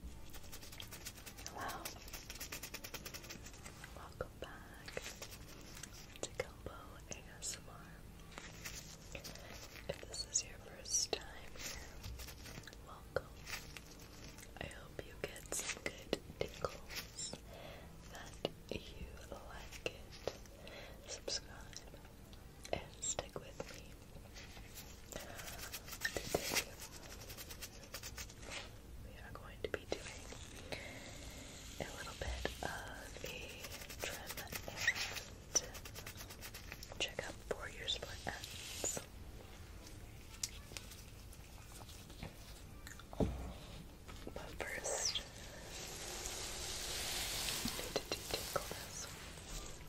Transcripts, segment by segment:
Hello. Welcome back to Gumbo ASMR. If this is your first time here, welcome. I hope you get some good tingles, that you like it. Subscribe and stick with me. Today we are going to be doing a little bit of a trim and checkup for your split ends. But first, I need to do this.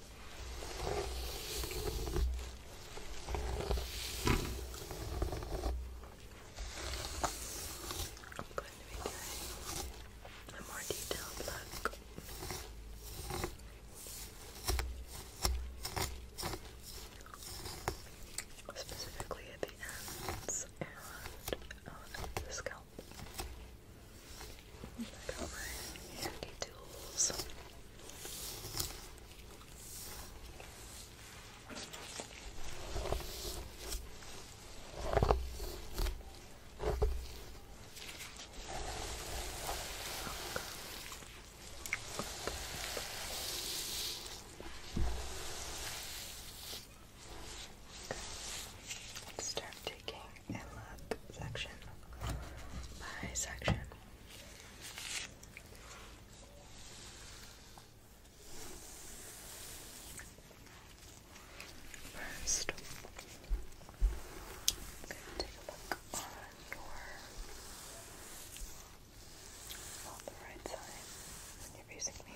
I'm going to be doing a more detailed look. Specifically at the ends and the sky help. Back over handy tools. Okay. Let's start taking and look section by section. 1st take a look on your right side you're facing me.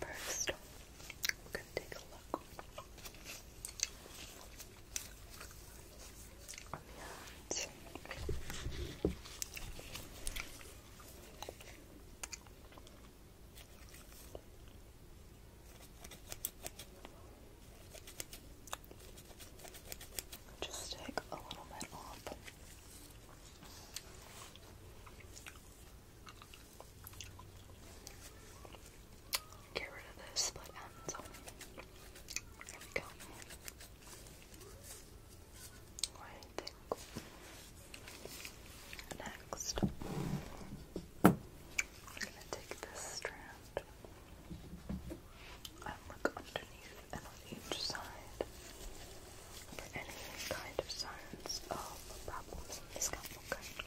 First, going to take a look Just take a little bit off. Get rid of the split ends. There we go. Next, I'm gonna take this strand and look underneath and on each side for any kind of signs of problems in the scalp. Okay.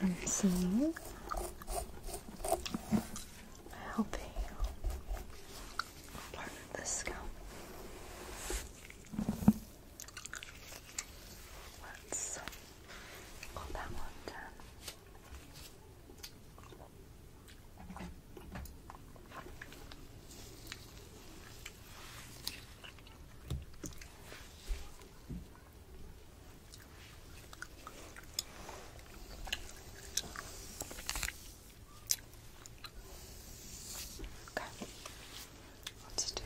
and seeing helping you part of the Let's pull that one down. Okay, let's do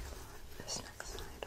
this next side.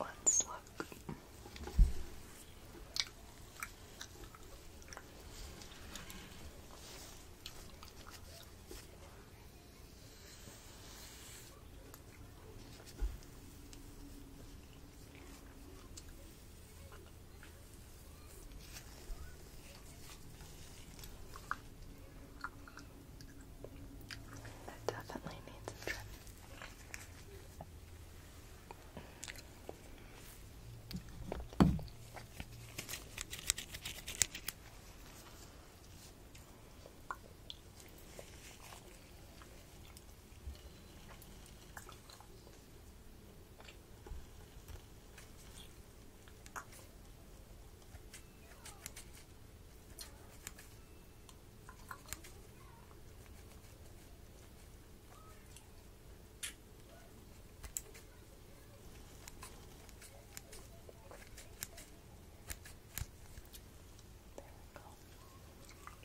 Let's look. It definitely needs a trim we go.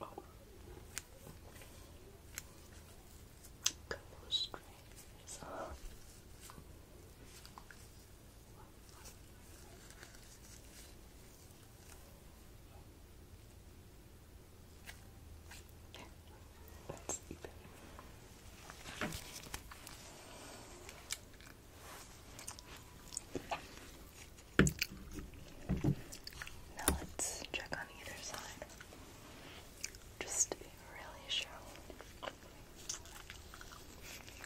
Oh. Couple of strings let's eat it. Now let's check on either side. Just to be really sure.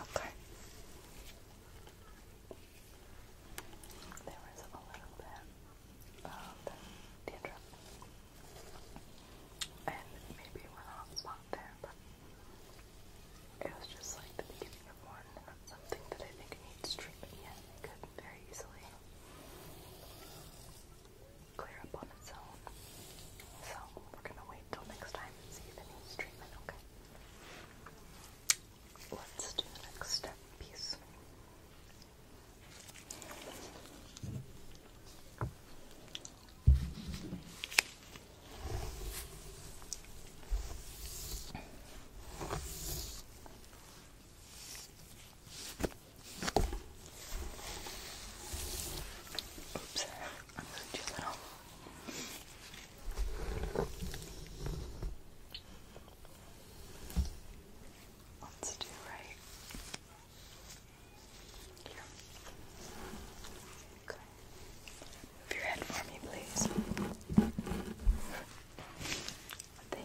Okay. There was a little bit of dandruff. And maybe one off spot there, but it was just like the beginning of one, something that I think needs treatment yet. very easily clear up on its own. So we're gonna wait till next time and see if it needs okay? Let's do the next step piece. Oops, I moved you a little. Let's do right here. Move your head for me, please. Thank you.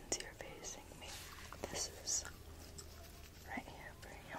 Since you're facing me, this is right here for you.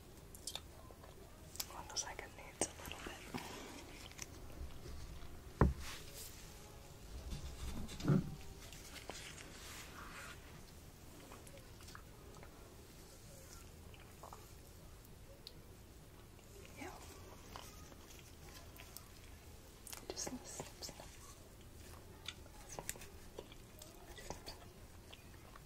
Looks like it needs a little bit. Mm. Yeah. Just snip, snip,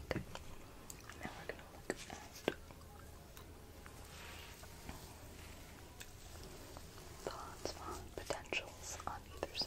Okay. Now we're gonna look at the hotspot potentials on either side.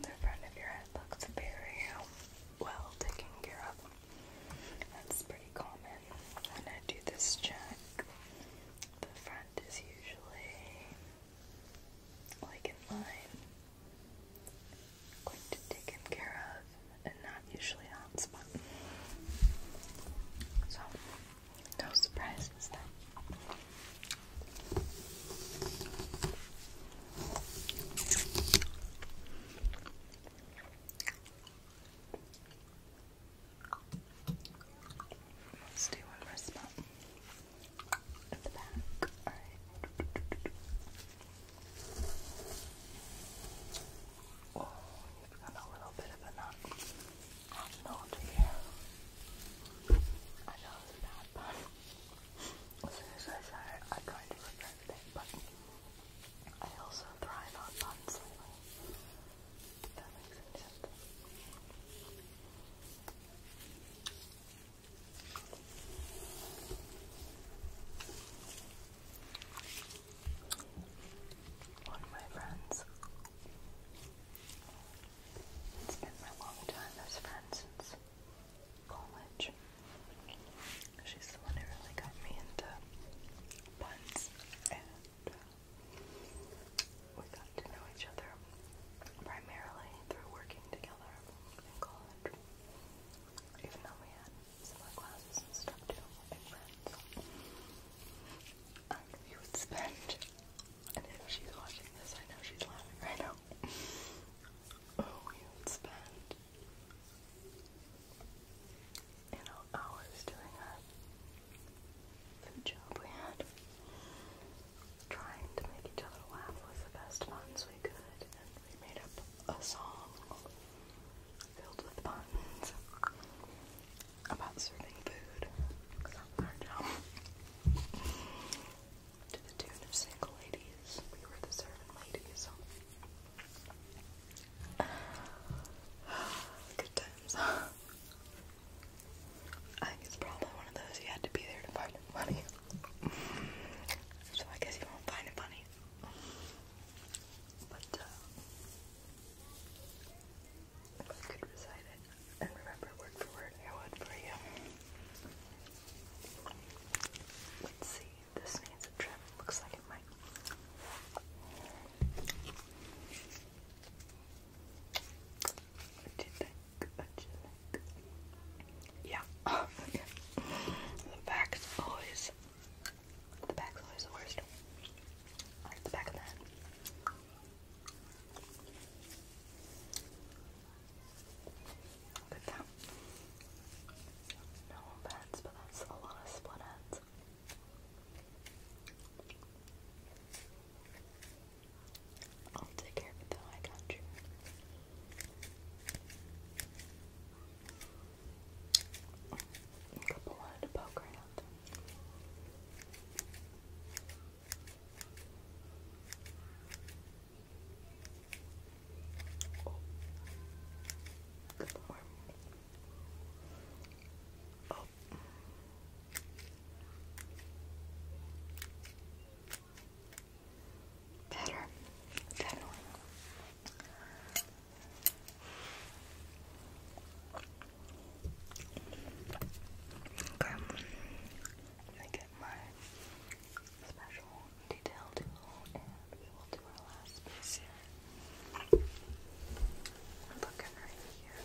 The front of your head looks very well taken care of. That's pretty common. When I do this check, the front is usually like in line, quite taken care of, and not usually on hot spot. So. No surprises then. Let's do one more spot at the back. All right. Oh, you've got a little bit of a knot. I'm not here. I know it's as soon as I say I kind of regret it, but I also thrive on fun slightly. that makes any sense one of my friends. It's been my long time best friend since college. She's the one who really got me into puns, and uh, we got to know each other primarily through working together in college. Even though we had similar classes and stuff too, and friends. I really would spend. And if she's watching this, I know she's laughing right now. Oh, we would spend, you know, hours doing that food job we had, trying to make each other laugh with the best puns we could, and we made up a song filled with puns about serving food. our job. to the tune of single ladies. We were the serving ladies. Good times. I think it's probably one of those you had to be there to find it funny. so I guess you won't find it funny. But uh, I could recite it and remember word for word, I would for you. Let's see, this needs a trim. Looks like it might. What do you think? What do you think? Yeah. the back always the back's always the worst. I like the back of that. Good though. No bats, but that's a lot of split ends. I'll take care of it I got you. A couple wanted to poke around. Oh. That's warm. Oh. Better. Better. Okay. I get my special detail tool and we will do our last piece here. Look right here.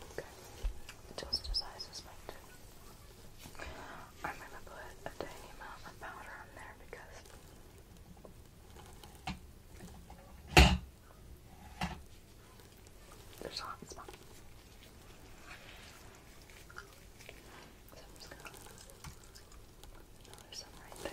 Okay, just as I suspected. I'm gonna put a tiny amount of powder on there because there's a hot spot. So I'm just gonna no, there's some right there.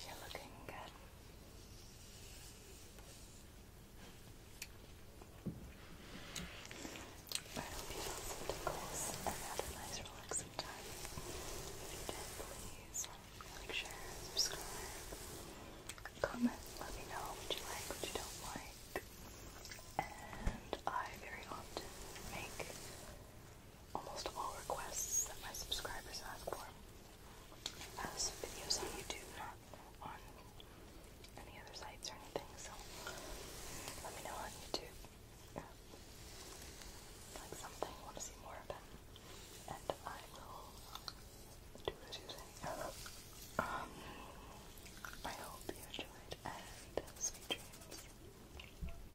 You're looking good. I hope you felt some tickles and had a nice relaxing time. If you did, please like, share, subscribe, comment, let me know what you like, what you don't like. And I very often make almost all requests that my subscribers ask for as uh, videos on YouTube, not on any other sites or anything, so let me know on YouTube. Yeah. Like something, want to see more of it, and I will do as you say. Um, I hope you enjoyed, and sweet dreams.